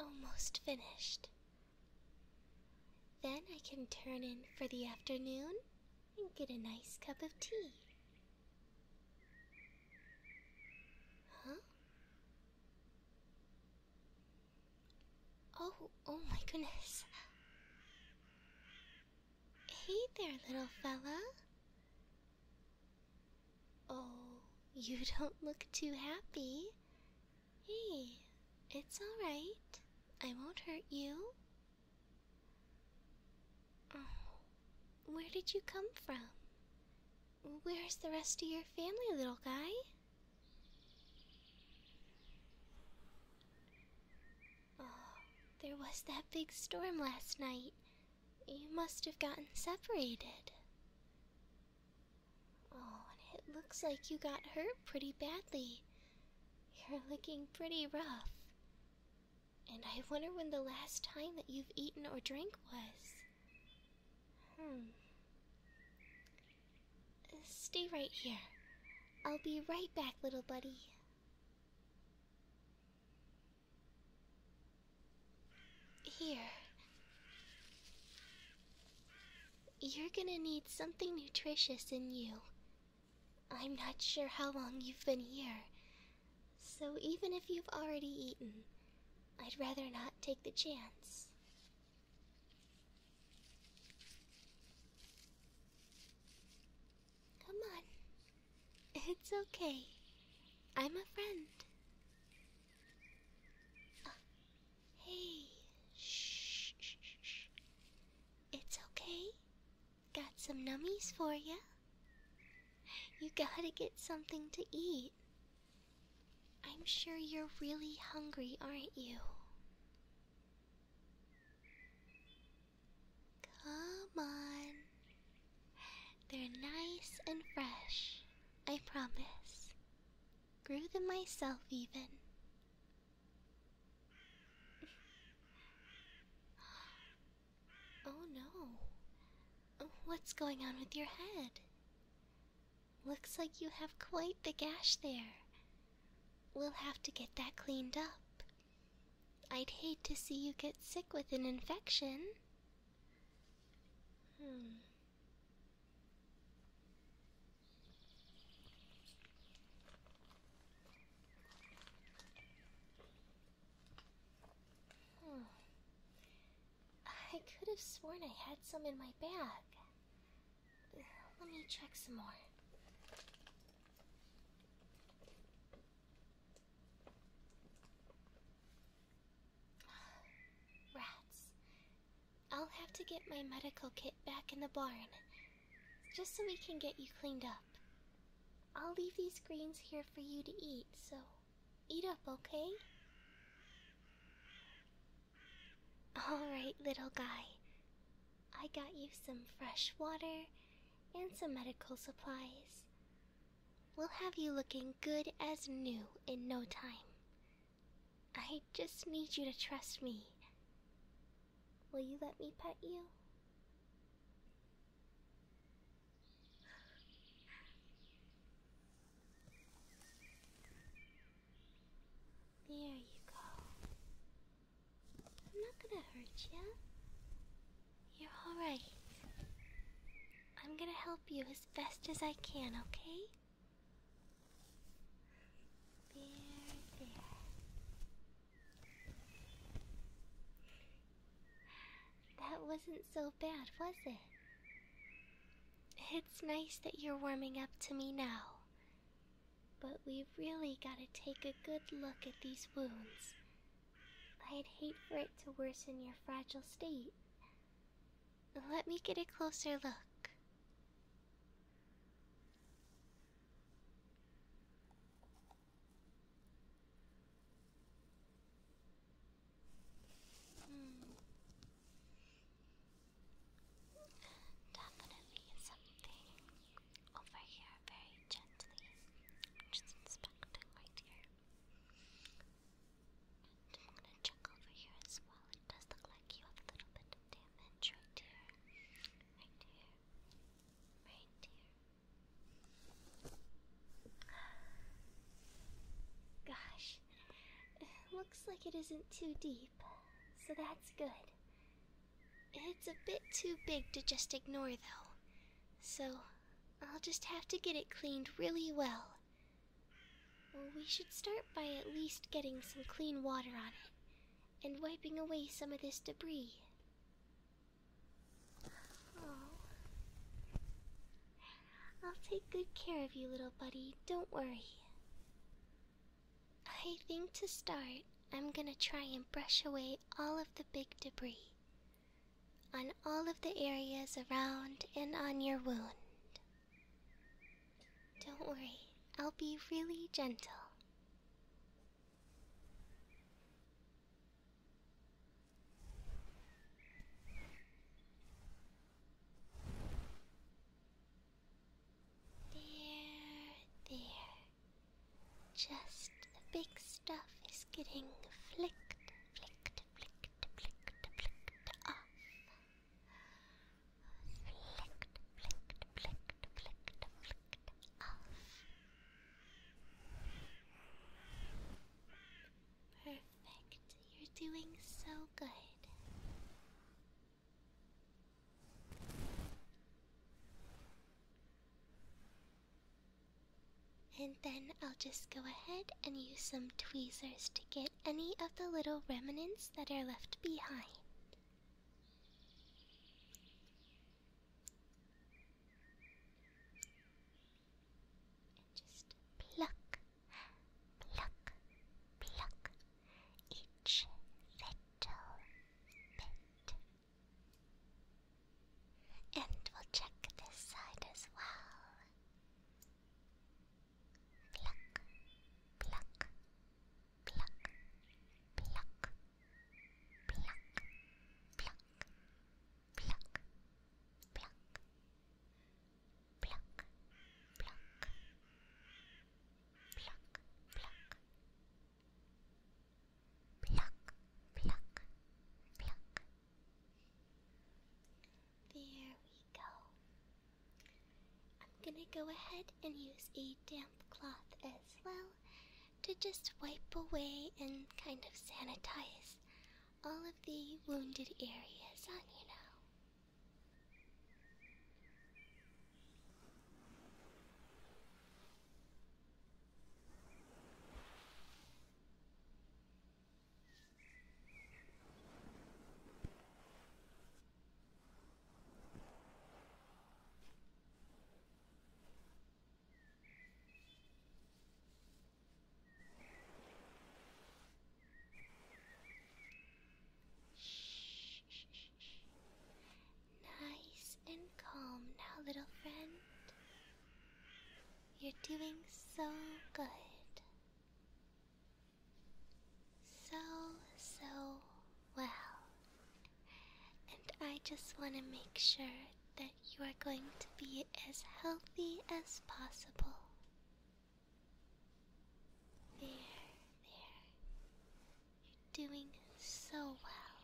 Almost finished. Then I can turn in for the afternoon and get a nice cup of tea. Huh? Oh, oh my goodness. Hey there, little fella. Oh, you don't look too happy. Hey, it's alright. I won't hurt you. Oh, where did you come from? Where's the rest of your family, little guy? Oh, there was that big storm last night. You must have gotten separated. Oh, and it looks like you got hurt pretty badly. You're looking pretty rough. And I wonder when the last time that you've eaten or drank was. Hmm. Uh, stay right here. I'll be right back, little buddy. Here. You're gonna need something nutritious in you I'm not sure how long you've been here, so even if you've already eaten, I'd rather not take the chance. Come on. It's okay. I'm a friend. Oh, hey, shh, shh, shh. It's okay. Got some nummies for you. You gotta get something to eat. I'm sure you're really hungry, aren't you? Come on. They're nice and fresh, I promise. Grew them myself, even oh no. Oh, what's going on with your head? Looks like you have quite the gash there. We'll have to get that cleaned up. I'd hate to see you get sick with an infection. Hmm. Hmm. I could have sworn I had some in my bag. Let me check some more. Rats. I'll have to get my medical kit back in the barn just so we can get you cleaned up. I'll leave these greens here for you to eat, so eat up, okay? Alright, little guy. I got you some fresh water and some medical supplies. We'll have you looking good as new in no time. I just need you to trust me. Will you let me pet you? There you go. I'm not gonna hurt you. You're alright. I'm gonna help you as best as I can, okay? There, there. That wasn't so bad, was it? It's nice that you're warming up to me now. But we've really got to take a good look at these wounds. I'd hate for it to worsen your fragile state. Let me get a closer look. Hmm. Definitely something over here very gently. I'm just inspecting right here. I'm gonna check over here as well. It does look like you have a little bit of damage right here. Right here. Reindeer. Gosh, looks like it isn't too deep, so that's good. It's a bit too big to just ignore, though, so I'll just have to get it cleaned really Well, we should start by at least getting some clean water on it, and wiping away some of this debris. Oh. I'll take good care of you, little buddy. Don't worry. I think to start, I'm gonna try and brush away all of the big debris on all of the areas around and on your wound. Don't worry, I'll be really gentle. There, there. Just the big stuff is getting flicked, flicked, flicked, flicked, flicked off flicked, flicked, flicked, flicked, flicked Perfect, you're doing so good. And then I'll just go ahead and use some tweezers to get any of the little remnants that are left behind. Just pluck, pluck, pluck each little bit. And we'll check this side as well. Pluck, pluck, pluck, pluck, pluck, pluck, pluck, pluck, pluck, pluck, pluck, pluck. Pluck, pluck, pluck. There we go. I'm gonna go ahead and use a damp cloth as well to just wipe away and kind of sanitize all of the wounded areas on you know. Nice and calm now, little friend. You're doing so good. So, so well. And I just want to make sure that you are going to be as healthy as possible. There, there. You're doing so well.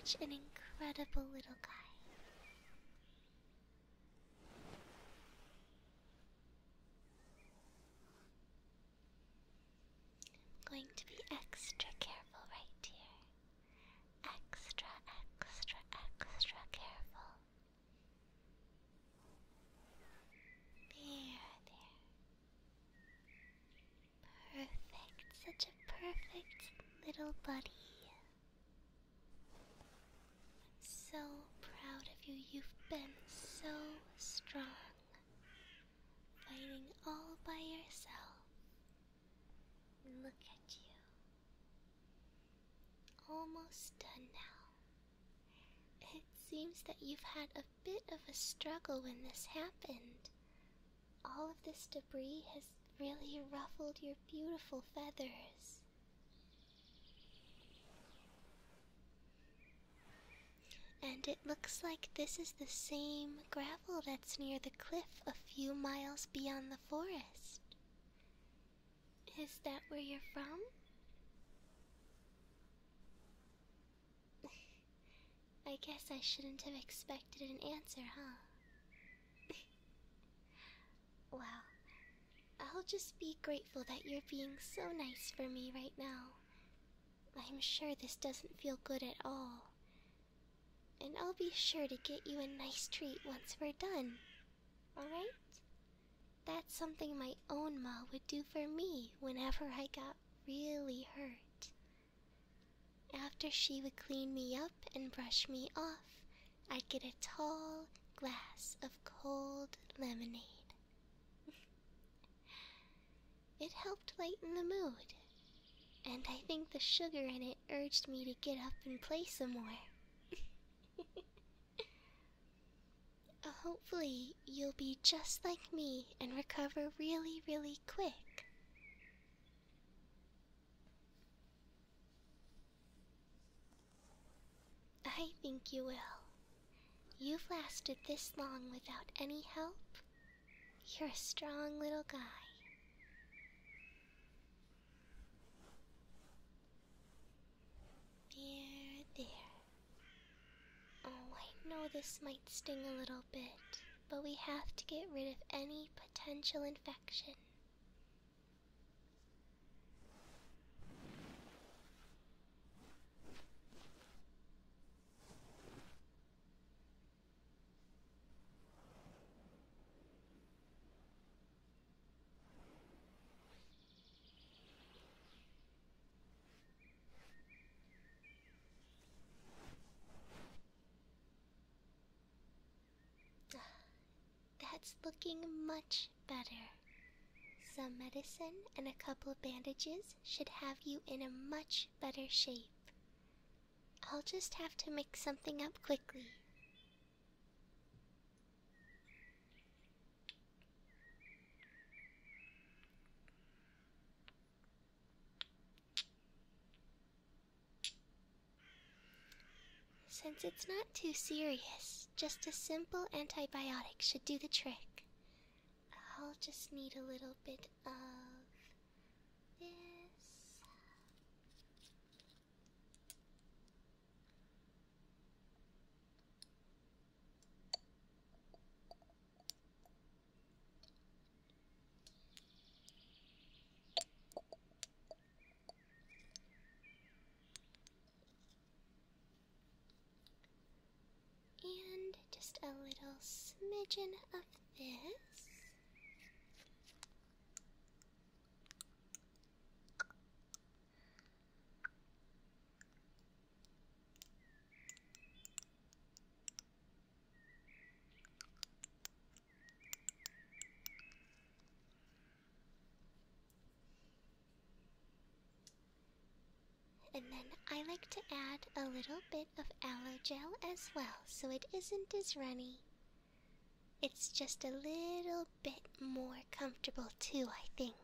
Such an incredible little guy. I'm going to be extra careful right here. Extra, extra, extra careful. There, there. Perfect, such a perfect little buddy. so proud of you. You've been so strong fighting all by yourself. Look at you. Almost done now. It seems that you've had a bit of a struggle when this happened. All of this debris has really ruffled your beautiful feathers. And it looks like this is the same gravel that's near the cliff a few miles beyond the forest. Is that where you're from? I guess I shouldn't have expected an answer, huh? well, I'll just be grateful that you're being so nice for me right now, I am sure this doesn't feel good at all. And I'll be sure to get you a nice treat once we're done. Alright? That's something my own ma would do for me whenever I got really hurt. After she would clean me up and brush me off, I'd get a tall glass of cold lemonade. It helped lighten the mood, and I think the sugar in it urged me to get up and play some more. Uh, hopefully, you'll be just like me and recover really, really quick. I think you will. You've lasted this long without any help? You're a strong little guy. There, there. Oh, I know this might sting a little bit, but we have to get rid of any potential infection. That's looking much better. Some medicine and a couple of bandages should have you in a much better shape. I'll just have to mix something up quickly. Since it's not too serious, just a simple antibiotic should do the trick. I'll just need a little bit of this. And just a little smidgen of this. And then I like to add a little bit of aloe gel as well so it isn't as runny. It's just a little bit more comfortable too, I think.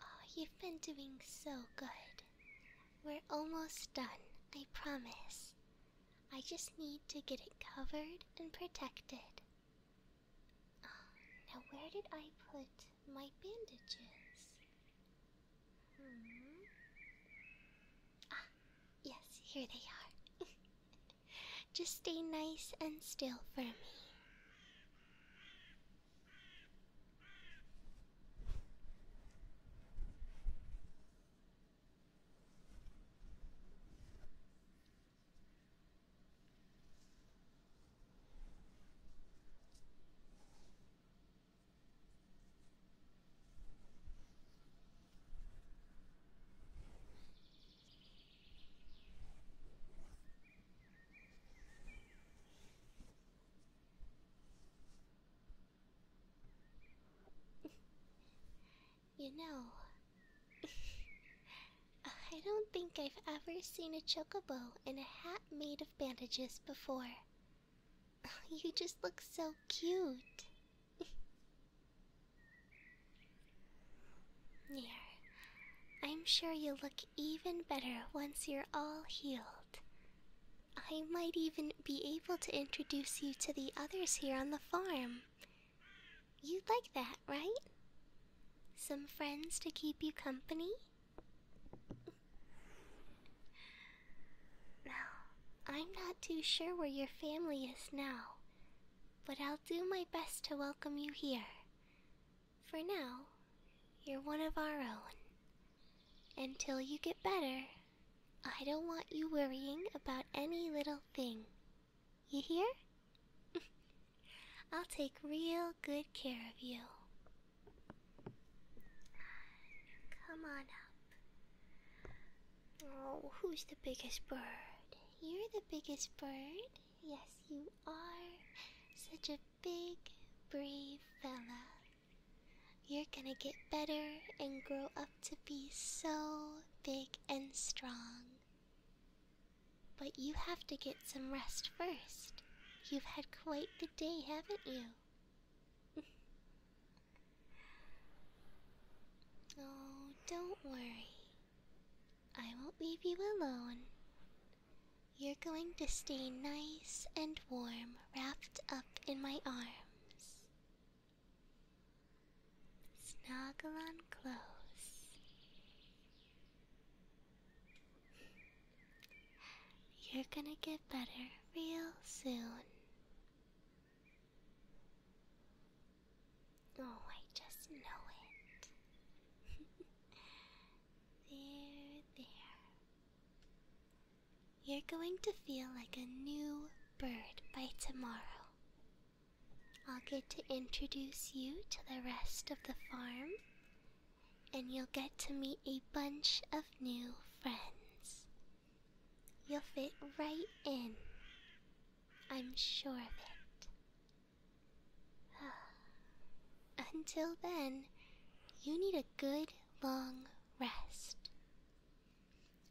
Oh, you've been doing so good. We're almost done, I promise. I just need to get it covered and protected. Oh, now, where did I put my bandages? Mm-hmm. Ah, yes, here they are. Just stay nice and still for me you know, I don't think I've ever seen a chocobo in a hat made of bandages before. Oh, you just look so cute. Here, I'm sure you will look even better once you're all healed. I might even be able to introduce you to the others here on the farm. You'd like that, right? Some friends to keep you company? Now, I'm not too sure where your family is now, but I'll do my best to welcome you here. For now, you're one of our own. Until you get better, I don't want you worrying about any little thing. You hear? I'll take real good care of you. Come on up. Oh, who's the biggest bird? You're the biggest bird. Yes, you are. Such a big, brave fella. You're gonna get better and grow up to be so big and strong. But you have to get some rest first. You've had quite the day, haven't you? oh, don't worry. I won't leave you alone. You're going to stay nice and warm, wrapped up in my arms. Snuggle on close. You're gonna get better real soon. Oh, I just know it. there, there. You're going to feel like a new bird by tomorrow. I'll get to introduce you to the rest of the farm and you'll get to meet a bunch of new friends. You'll fit right in. I'm sure of it. Until then, you need a good long rest.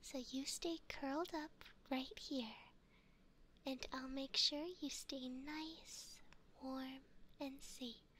So you stay curled up right here, and I'll make sure you stay nice, warm, and safe.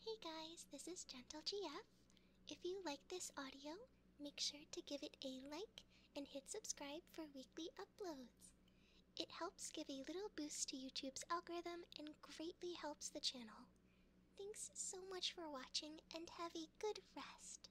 Hey guys, this is Gentle GF. If you like this audio, make sure to give it a like and hit subscribe for weekly uploads. It helps give a little boost to YouTube's algorithm and greatly helps the channel. Thanks so much for watching and have a good rest.